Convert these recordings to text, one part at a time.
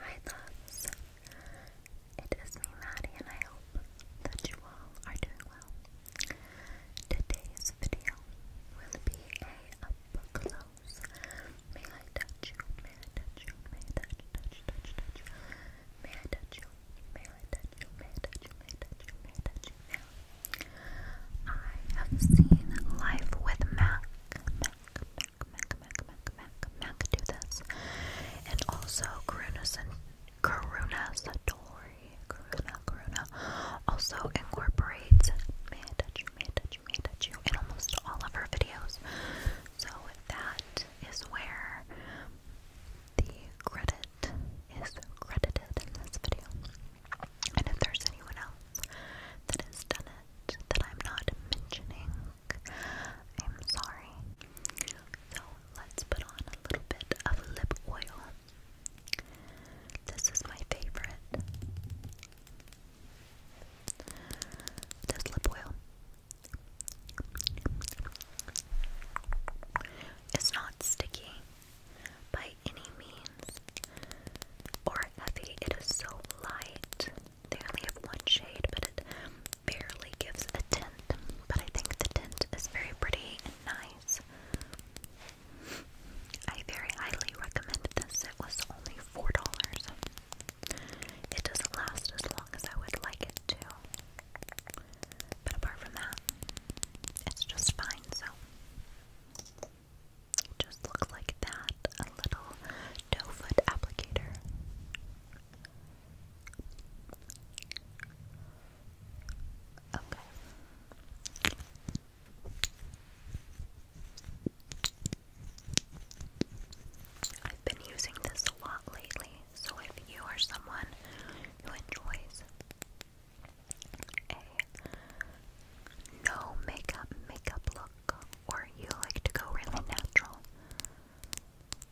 Hi loves, it is me Maddie and I hope that you all are doing well. Today's video will be a up close, may I touch you, may I touch you, may I touch, you, may I touch you, may I touch you, may I touch you, I have seen Life with Mac, Mac, Mac, Mac, Mac, Mac do this. And also Karuna Karuna Satori, Karuna, Karuna also incorporates May I touch you, in almost all of her videos. So that is where the credit is credited in this video. And if there's anyone else that has done that I'm not mentioning. I'm sorry. So let's put on a little bit of lip oil. This is my favorite. This lip oil. It's not sticky by any means or heavy. It is so light they only have one shade, but it barely gives a tint. But I think the tint is very pretty and nice. I very highly recommend this. It was only $4. It doesn't last as long as I would like it to. But apart from that, it's just fine, so. Just looks like that. A little doe foot applicator. Okay. I've been using this a lot lately, so if you are someone who enjoys a no makeup makeup look or you like to go really natural,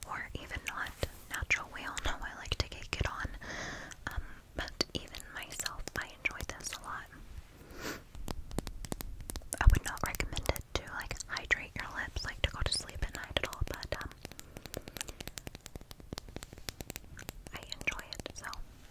or even not natural. We all know I like to get it on, um, but even myself, I enjoy this a lot. I would not recommend it to like hydrate your lips, like to go to sleep at night at all, but um, I enjoy it so.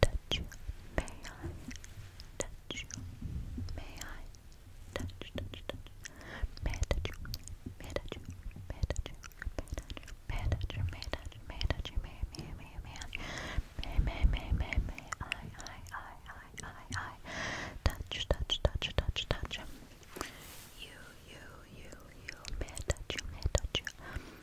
touch May I touch May I touch, touch, touch? May I touch you? May I touch you? May touch you? May I touch you? May I touch you? May I touch you? May I touch you? May I, may I, may I, may, may, may, may, may, I, I, I, I, I, I, touch, touch, touch, touch, touch. You, you, you, you, may I touch you? May I touch you?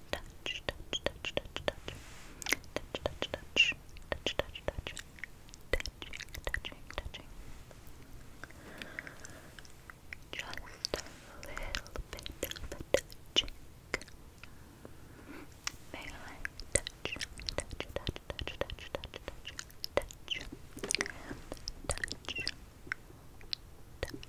touch, touch, touch, touch, touch, touch, touch, touch, touch, touch, touch, touching, touching, touching. Just a little bit of a touching. May I touch, touch, touch, touch, touch, touch, touch, touch, touch, touch.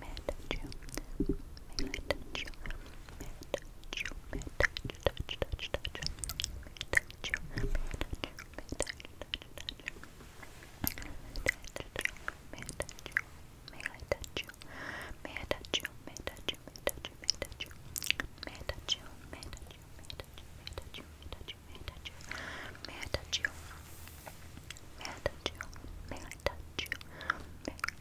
mid May I touch you? May I touch you? May I touch you? May I touch touch touch touch touch May I touch you? May I touch you? May I touch touch touch touch May I touch you? May I touch you? May I touch touch touch touch May I touch you? May I touch you? May I touch you? May I touch you? May I touch you? May I touch you? May I touch you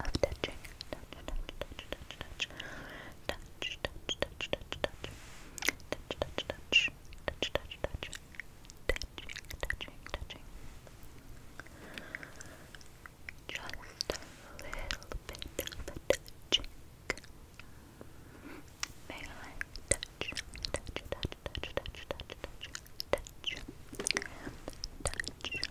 of touching. Touch, touch, touch, touch, touch. Touch, touch, touch, touch, touch. Touch, touch, touch. Touch, touch, touch. Just a little bit of touching. May touch, touch, touch, touch, touch, touch, touch, touch, touch, touch,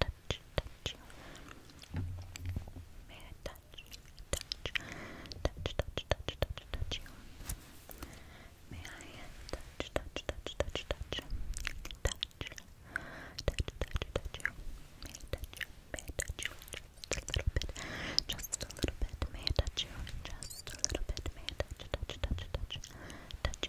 touch, May I touch, touch, touch, touch, touch, you? May I touch, touch, touch, touch, touch, touch, touch, touch, touch you? May I touch May I touch you? Just a little bit, just a little bit. May I touch you? Just a little bit. May I touch, touch, touch, touch, touch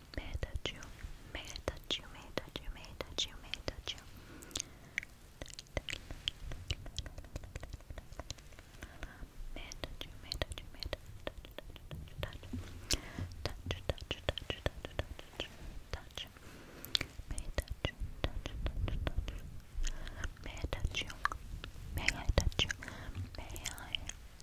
may I touch you? May I touch you? May I touch you? May I touch you? May I touch you? May I touch you? May I touch you? May I touch you? Touch, touch, touch, touch, touch, touch, touch. May I touch you? Touch, touch, touch. May I touch you? May I touch you? May I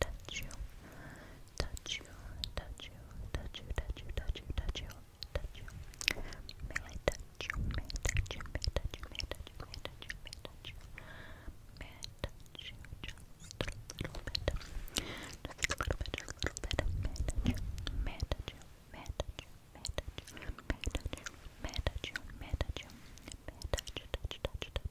touch you, touch you, touch you, touch you, touch you, touch you, touch you, touch you. May touch you, may touch you, may touch you, may touch you, may touch you, may touch you. May touch you just a little bit, just a little bit, just a little bit. May touch you, may touch you, may touch you, may touch you, may touch you, may touch you, touch you, touch you, touch, touch,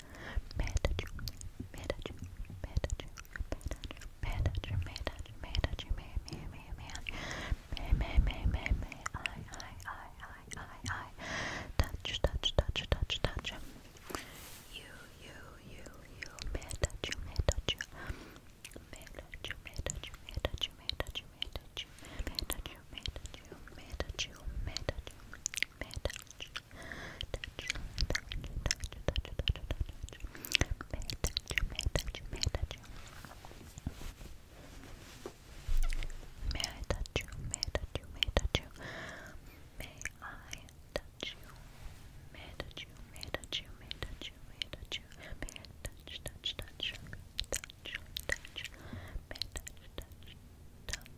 Manager, manager, manager, manager, manager, manager, may, may, may, may, may, may, may, may, I, I, I, I, I, I, touch, touch, touch, touch, touch, you, you, you, you, manager, manager, manager, manager, manager, manager, manager, manager, manager, manager, manager, May I touch? Touch, touch, touch, touch, touch, touch, touch. May I touch? May I touch? May I touch? May I touch you? May I touch you? May I touch you? May I touch you? May I touch you? May I touch you? May I touch you? May I touch you? May I touch, touch, touch, touch, touch, touch, may I touch, touch, touch,